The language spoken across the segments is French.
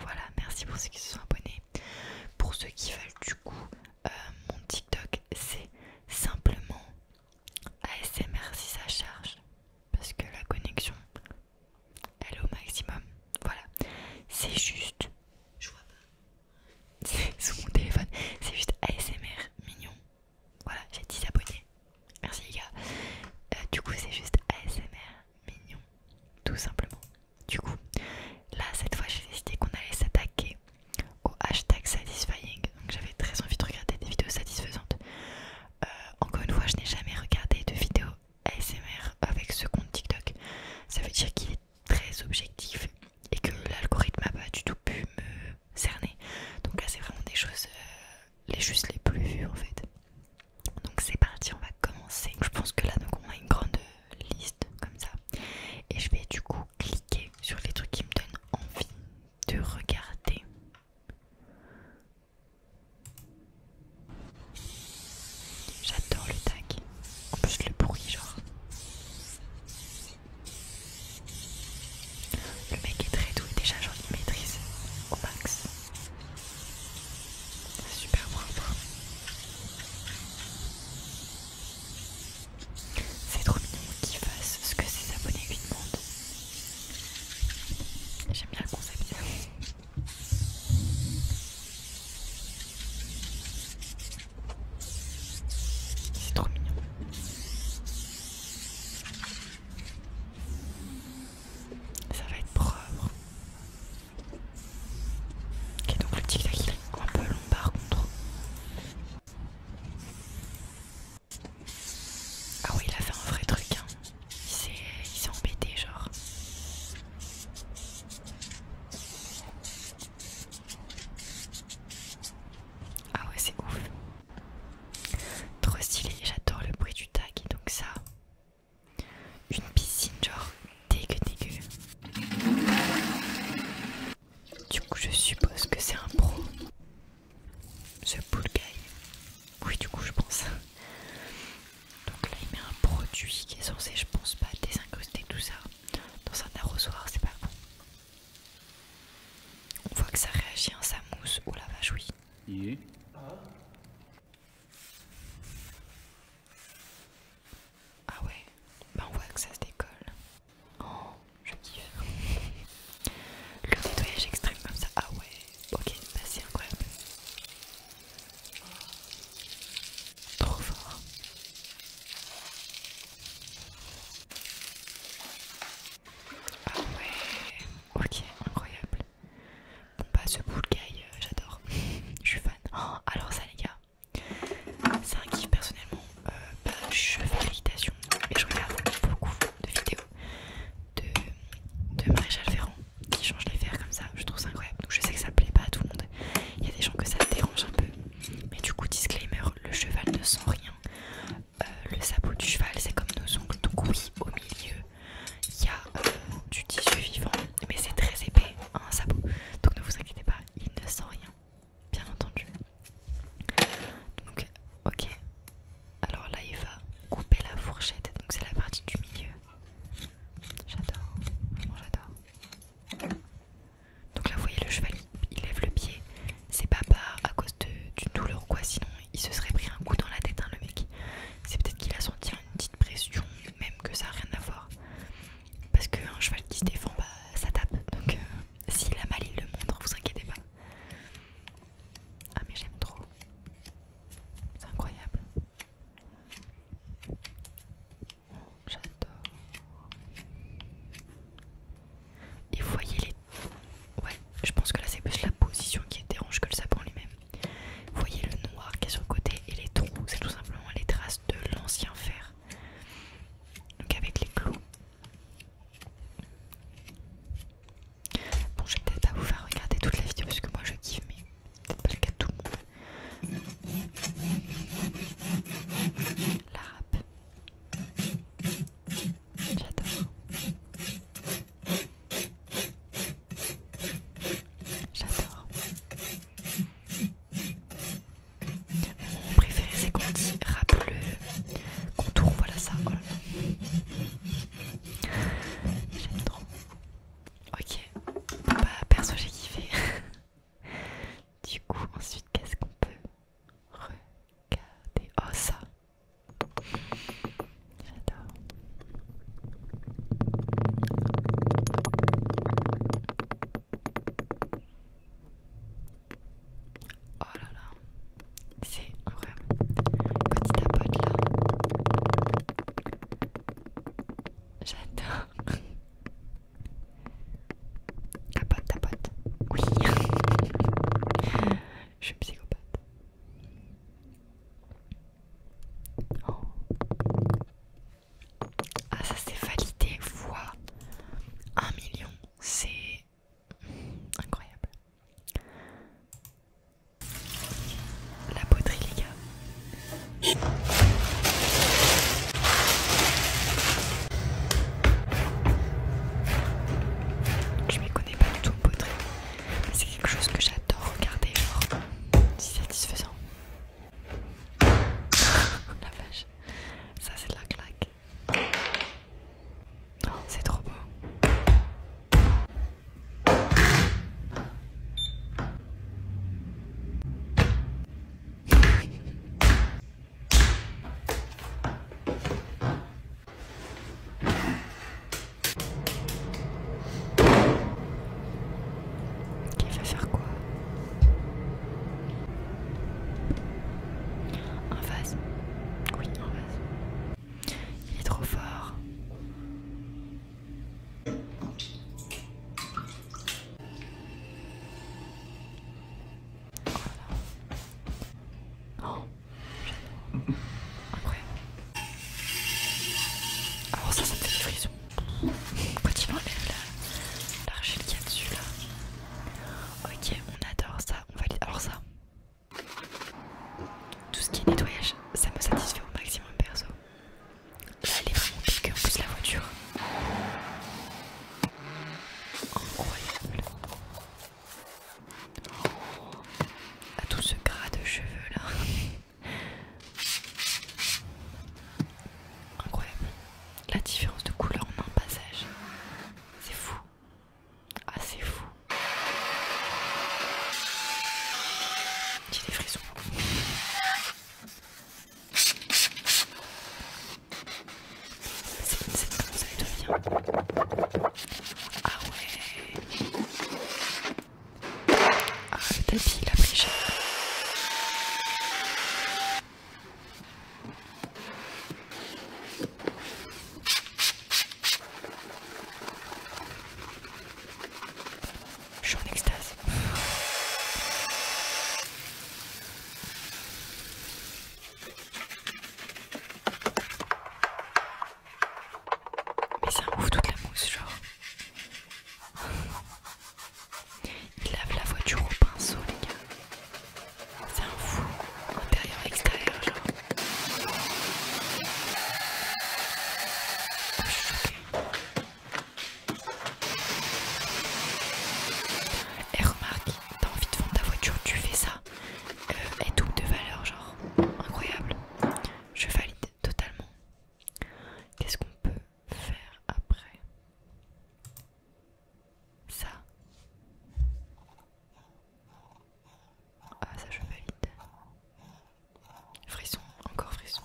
voilà, merci pour ceux qui se sont abonnés. Pour ceux qui veulent du coup euh, mon TikTok, c'est simplement ASMR si ça charge. Parce que la connexion, elle est au maximum. Voilà. C'est juste... Je vois pas. C'est mon téléphone. C'est juste ASMR mignon. Voilà, j'ai 10 abonnés. Merci les gars. Euh, du coup, c'est juste ASMR mignon, tout simplement. Du coup, là cette fois j'ai décidé qu'on allait s'attaquer au hashtag satisfying. Donc j'avais très envie de regarder des vidéos satisfaisantes. Euh, encore une fois, je n'ai jamais regardé de vidéos ASMR avec ce compte TikTok. Ça veut dire qu'il est très objectif et que l'algorithme n'a pas du tout pu me cerner. Donc là c'est vraiment des choses, euh, les juste les plus vues en fait. Donc c'est parti, on va commencer. Je pense que là, donc on a une grande liste comme ça. Et je vais du coup cliquer sur les trucs qui me donnent envie de regarder. J'adore le tag. En plus le bruit genre. Le mec est très doux, déjà, j'en ai maîtrise au max. C'est super propre. C'est trop mignon qu'il fasse ce que ses abonnés lui demandent. J'aime bien le concept. C'est trop mignon. Ça va être propre. Ok, donc le tic-tac il est un peu lombard par contre. Ah ouais il a fait un vrai truc, hein. il s'est embêté, genre. Ah ouais, c'est ouf. Trop stylé, j'adore le bruit du tag, donc ça, une piscine genre dégueu dégueu. Du coup je suppose que c'est un pro. Ce pool guy. Oui du coup je pense. Donc là il met un produit qui est censé je pense pas désincruster tout ça. Dans un arrosoir c'est pas bon. On voit que ça réagit, en sa mousse. Oh la vache, oui. Ah ouais, bah on voit que ça se décolle. Oh, je kiffe. Le nettoyage extrême comme ça. Ah ouais, ok, bah c'est incroyable. Oh, trop fort. Ah ouais, ok, incroyable. Bon ce boule guy, euh, j'adore, je suis fan. Oh, alors ça les gars, c'est un kiff personnellement. Euh, bah, je fais et je regarde beaucoup de vidéos de, Maréchal Ferrand qui change les fers comme ça. Je trouve ça incroyable. Donc je sais que ça plaît pas à tout le monde. Il y a des gens que ça dérange un peu. Mais du coup, disclaimer, le cheval ne sent rien. Euh, le sabot du cheval, c'est comme nos ongles. tout oui, au milieu, il y a euh, du tissu vivant, mais c'est très épais, hein, un sabot. Donc ne vous inquiétez pas, il ne sent rien, bien entendu. Donc, ok. Alors là, il va couper la fourchette, donc c'est la partie du milieu. J'adore, vraiment j'adore. Donc là, vous voyez le cheval, il lève le pied. C'est pas, à cause de, d'une douleur ou quoi, sinon il se serait pris un coup dans la tête, hein, le mec. C'est peut-être qu'il a senti une petite pression, même que ça n'a rien à voir. Parce qu'un cheval qui se défend, bah, ça tape. Donc si euh, s'il a mal, il le montre, vous inquiétez pas. Ah, mais j'aime trop. C'est incroyable. J'adore. Et vous voyez les. Ouais, je pense que là c'est plus la position qui dérange que le sapin lui-même. Vous Voyez le noir qui est sur le côté et les trous, c'est tout simplement les traces de l'ancien fer. Donc avec les clous. Bon, j'ai peut-être à vous faire regarder toute la vidéo parce que moi je kiffe, mais peut-être pas le cas de tout le monde. La rap. J'adore. J'adore. Mon préféré, c'est quand dit Rappel le contour. Voilà ça. J'aime trop. Ok. bah, perso, j'ai kiffé. Du coup, ensuite, qu'est-ce qu'on peut regarder Oh, ça J'adore. Oh là là, c'est vraiment Petit tapote là, j'adore. Tapote, tapote. Oui, je suis psychopathe. Oh. Ah ça c'est validé fois 1 million, c'est incroyable. La poterie les gars. Je m'y connais pas du tout poterie. C'est quelque chose que j'adore regarder, c'est satisfaisant. La vache, ça c'est de la claque. Oh, c'est trop beau. Ok, il va faire quoi Un vase Oui, un vase. Il est trop fort. Oh après Alors ah, oh, ça, ça me fait des frissons. Quand il enlève l'argile qu'il y a dessus là. Ok, on adore ça, on valide. Alors ça, tout ce qui est nettoyage, ça me satisfait au maximum perso. Là, elle est vraiment pique, en plus la voiture. Incroyable à tout ce gras de cheveux là. Incroyable. La différence de couleur en un passage. C'est fou. Ah c'est fou. Petit des frissons. C'est une ça. devient. Ah ouais. Ah, le tapis, il a pris cher. Je suis en extase. Mais ça un toute la mousse, genre. Il lave la voiture au pinceau, les gars. C'est un fou, intérieur, extérieur, genre. Ah, Et remarque, t'as envie de vendre ta voiture, tu fais ça. Et euh, tout double de valeur, genre incroyable. Je valide totalement. Qu'est-ce qu'on peut faire après Ça. Ah ça je valide. Frisson, encore frisson.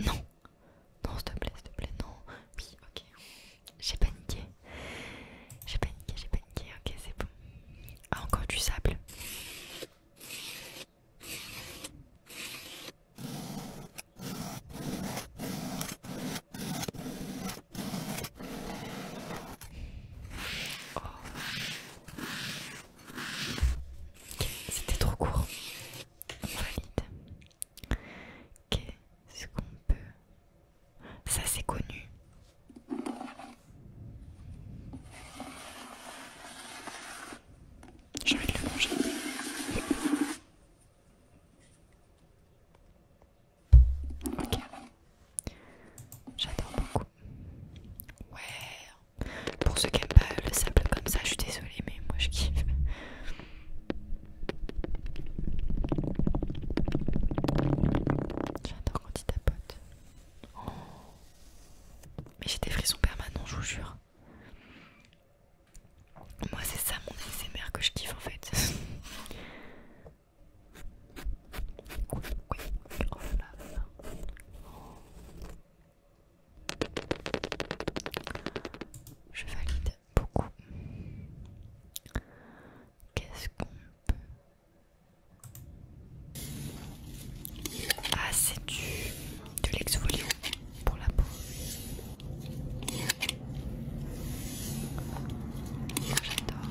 Non, non, s'il te plaît, s'il te plaît, non. Oui, ok. J'ai paniqué. J'ai paniqué, j'ai paniqué. Ok, c'est bon. Ah, encore du sable. Oh. C'était trop court. Qu'est-ce qu'on peut... Ça c'est connu. J'ai envie de le manger. Ok. J'adore beaucoup. Ouais. Pour ceux qui n'aiment pas le sable comme ça, je suis désolée, mais moi je kiffe. J'adore quand il tapote. Oh. Mais j'ai des frissons permanents, je vous jure. Moi, c'est ça mon ASMR que je kiffe en fait. oui, oui, oh je valide beaucoup. Qu'est-ce qu'on peut... Ah, c'est du... de l'exfoliant pour la peau. J'adore.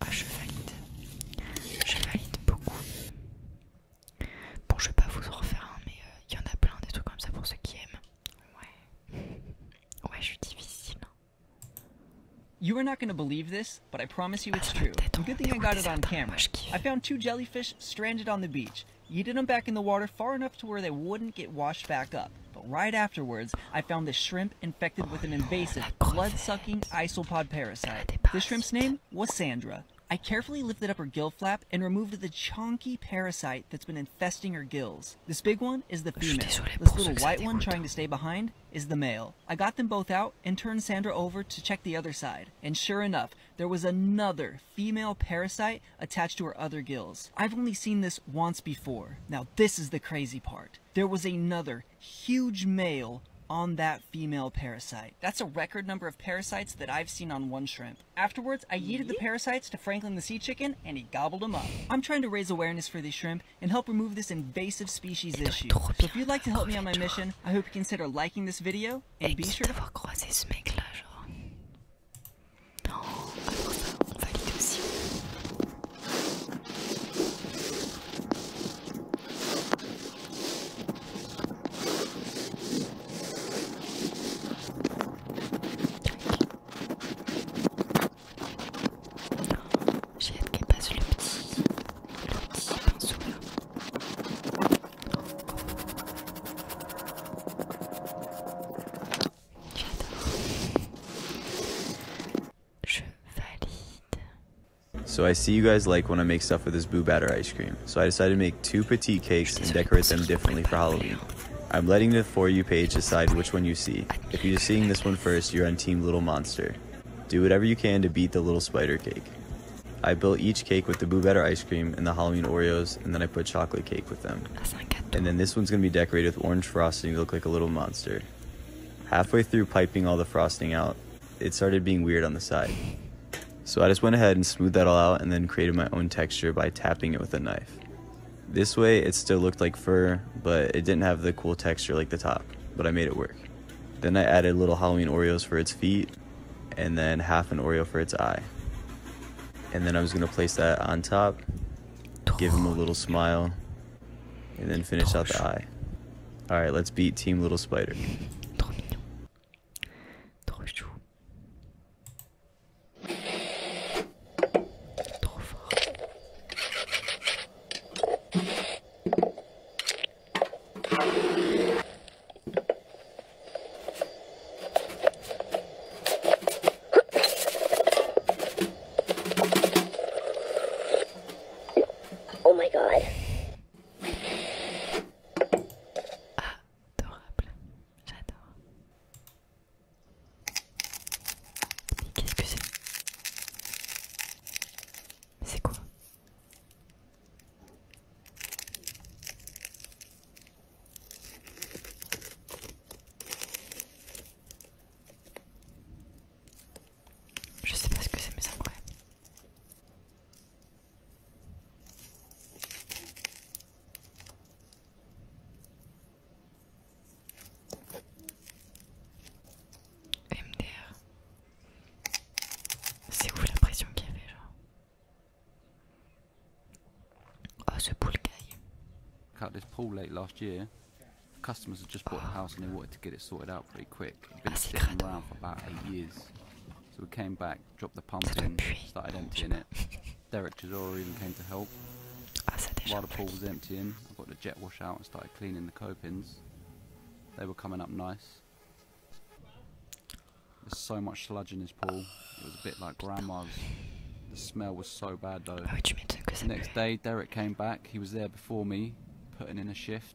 Ah, je valide. Je valide beaucoup. You are not going to believe this, but I promise you ah, it's true. Good thing I got it on camera. I found two jellyfish stranded on the beach. Yeeted them back in the water far enough to where they wouldn't get washed back up. But right afterwards, I found this shrimp infected with an oh, invasive, blood-sucking isopod parasite. The shrimp's name was Sandra. I carefully lifted up her gill flap and removed the chonky parasite that's been infesting her gills. This big one is the female. This little white one trying to stay behind is the male. I got them both out and turned Sandra over to check the other side. And sure enough, there was another female parasite attached to her other gills. I've only seen this once before. Now this is the crazy part. There was another huge male on that female parasite. That's a record number of parasites that I've seen on one shrimp. Afterwards, I yeeted the parasites to Franklin the sea chicken and he gobbled them up. I'm trying to raise awareness for these shrimp and help remove this invasive species issue. So if you'd like to help me on my mission, I hope you consider liking this video and be sure to... J'ai hâte qu'elle passe le petit, le petit pinceau là. J'adore. Je valide. So I see you guys like when I make stuff with this boo batter ice cream, so I decided to make two petit cakes and decorate them differently for Halloween. I'm letting the For You page decide which one you see. If you're seeing this one first, you're on Team Little Monster. Do whatever you can to beat the little spider cake. I built each cake with the Boo Better ice cream and the Halloween Oreos, and then I put chocolate cake with them. And then this one's gonna be decorated with orange frosting to look like a little monster. Halfway through piping all the frosting out, it started being weird on the side. So I just went ahead and smoothed that all out and then created my own texture by tapping it with a knife. This way it still looked like fur, but it didn't have the cool texture like the top, but I made it work. Then I added little Halloween Oreos for its feet and then half an Oreo for its eye. And then I was gonna place that on top, give him a little smile, and then finish out the eye. All right, let's beat Team Little Spider. Oh my god. Adorable, j'adore. qu'est-ce que c'est C'est quoi Je sais pas ce que c'est mais ça me MDR. C'est où la pression qu'il y avait genre Oh, ce pool guy. Cut this pool late last year. customers had just bought the house and they wanted to get it sorted out pretty quick. It'd been sitting around for about eight years. So we came back, dropped the pump in, started emptying it. Derek Chisora even came to help. While the pool was emptying, I got the jet wash out and started cleaning the copings. They were coming up nice. There's so much sludge in this pool. It was a bit like grandma's. The smell was so bad though. next day, Derek came back. He was there before me, putting in a shift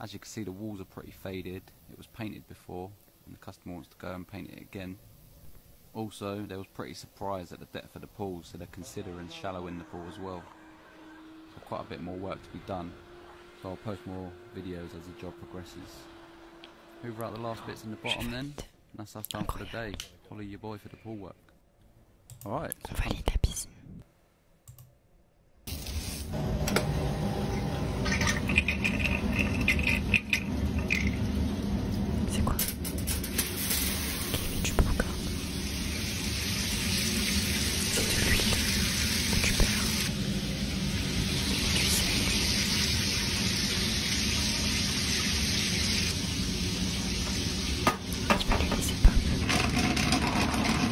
As you can see the walls are pretty faded, it was painted before and the customer wants to go and paint it again. Also they was pretty surprised at the depth of the pool so they're considering shallowing the pool as well. quite a bit more work to be done, so I'll post more videos as the job progresses. Hoover out the last bits in the bottom then, that's us done for the day. Follow your boy for the pool work. Alright. C'est quoi Kevin, tu prends, encore C'est de l'huile que tu perds. Tu sais. Tu peux l'huile, c'est pas.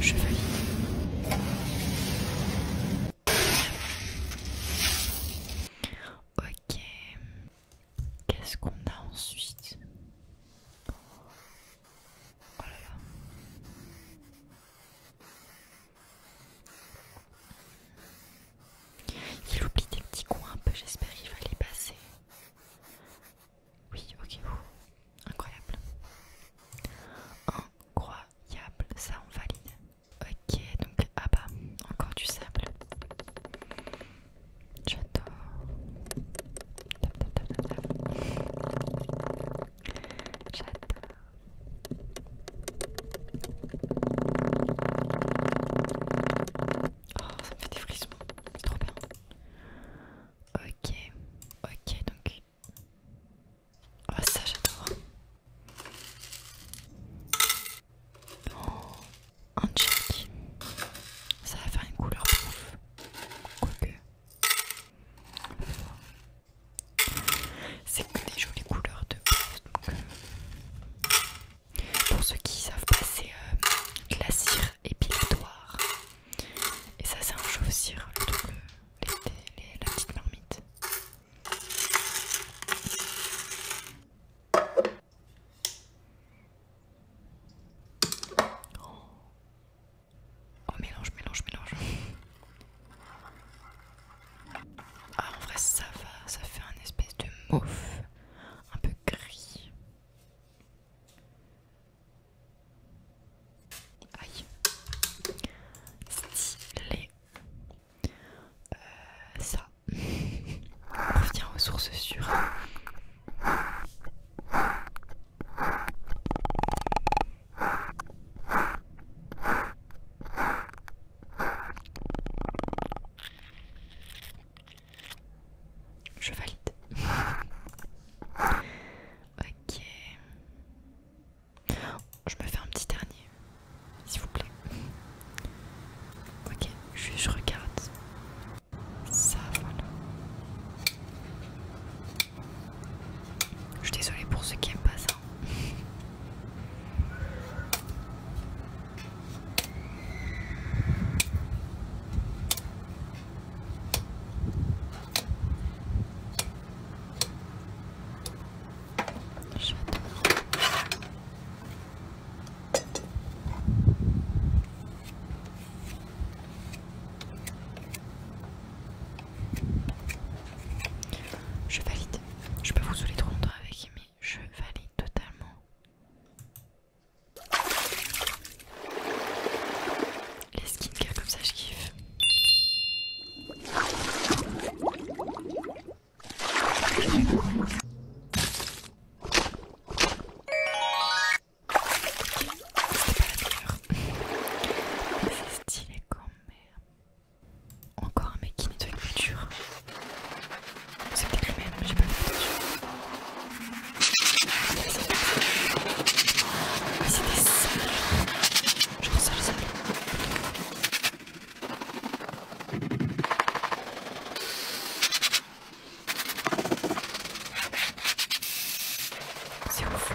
Chevalier. Ok. Qu'est-ce qu'on a ensuite oh il oublie des petits coins un peu, j'espère qu'il va les passer. Oui, ok. incroyable. Incroyable, ça on valide. Ok, donc, ah bah, encore du sable. J'adore. J'adore. Oh, ça me fait des frissons, trop bien. Ok, ok, donc. Oh, ça j'adore. Oh, un check. Ça va faire une couleur pouf. Quoique. C'est que des jolies couleurs de peau, pour ceux qui savent pas, c'est euh, la cire épilatoire. Et ça, c'est un chauffe-cire, le euh, la petite marmite. Oh. oh, mélange, mélange, mélange. Ah, en vrai, ça va, ça fait un espèce de mauve, un peu gris. Aïe, stylé. Euh, ça, on revient aux sources sûres. Je valide. Ok. Je me fais un petit dernier, s'il vous plaît. Ok, je, je regarde. Ça, voilà. Je suis désolée pour ceux qui aiment pas ça. Je valide. Je peux vous soulever trop longtemps avec Amy, je valide totalement. Les skincare comme ça je kiffe. C'est pas la C'est stylé quand même. Encore un mec qui nettoie une voiture. C'est peut-être le même, j'ai pas fait attention. Mais c'est des salles. Genre sale sale. C'est ouf.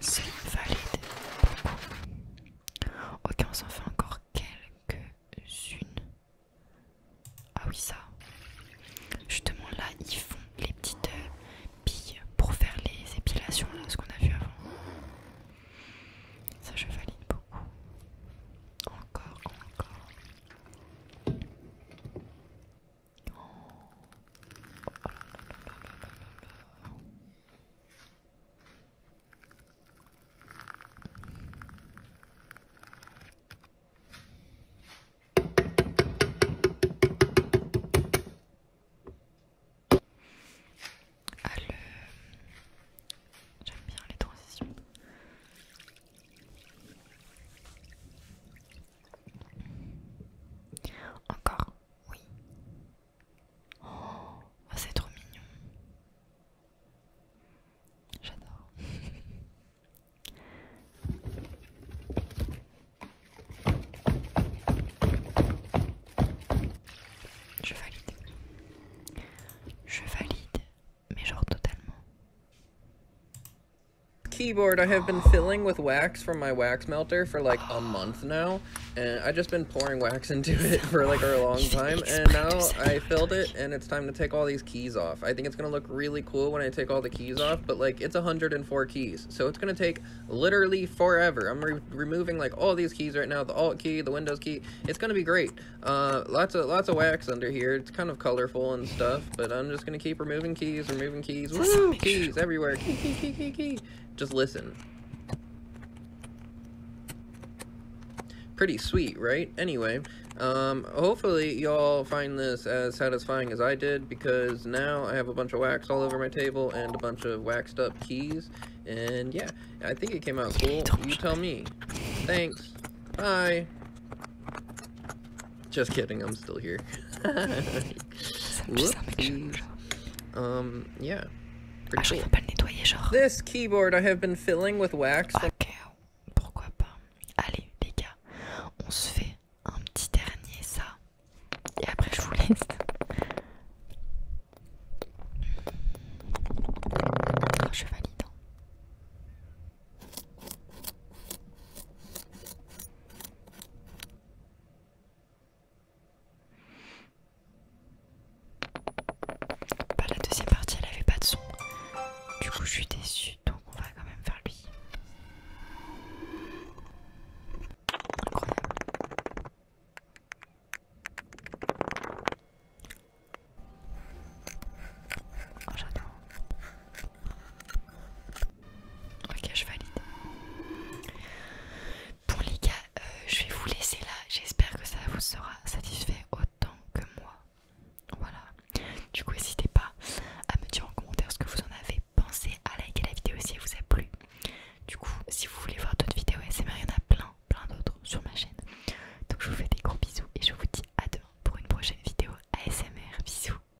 C'est valide beaucoup. Ok, on s'en fait encore quelques-unes. Ah oui, ça. Justement, là, ils font les petites euh, billes pour faire les épilations, là, ce qu'on a vu avant. Ça, je valide beaucoup. Encore, encore. Allez, ah, J'aime bien les transitions. Encore. Oui. Oh, oh, c'est trop mignon. J'adore. Je valide. Je valide, mais genre totalement. keyboard I have been filling with wax from my wax melter for like a month now and I just been pouring wax into it for like a long time and now I filled it and it's time to take all these keys off. I think it's gonna look really cool when I take all the keys off but like it's 104 keys so it's gonna take literally forever. I'm removing like all these keys right now the alt key the windows key it's gonna be great. Uh, lots of lots of wax under here it's kind of colorful and stuff but I'm just gonna keep removing keys, removing keys, keys everywhere, key, key, key, key, key. Just listen. Pretty sweet, right? Anyway, um, hopefully y'all find this as satisfying as I did, because now I have a bunch of wax all over my table and a bunch of waxed up keys, and yeah, I think it came out cool. You tell me. Thanks. Bye. Just kidding, I'm still here. ça um, yeah. Ah, je peux pas le nettoyer, genre. This keyboard I have been filling with wax. Ok, eh, pourquoi pas. Allez, les gars, on se fait un petit dernier, ça. Et après, je vous laisse. Un ah, je valide. Hein. Bah, la deuxième partie elle avait pas de son. Du coup je suis déçue donc on va quand même faire lui. Ok, je valide. Bon les gars, euh, je vais vous laisser là. J'espère que ça vous sera satisfait autant que moi. Voilà. Du coup, n'hésitez pas à me dire en commentaire ce que vous en avez pensé, à liker la vidéo si elle vous a plu. Du coup, si vous voulez voir d'autres vidéos ASMR il y en a plein, plein d'autres sur ma chaîne. Donc je vous fais des gros bisous et je vous dis à demain pour une prochaine vidéo ASMR. Bisous.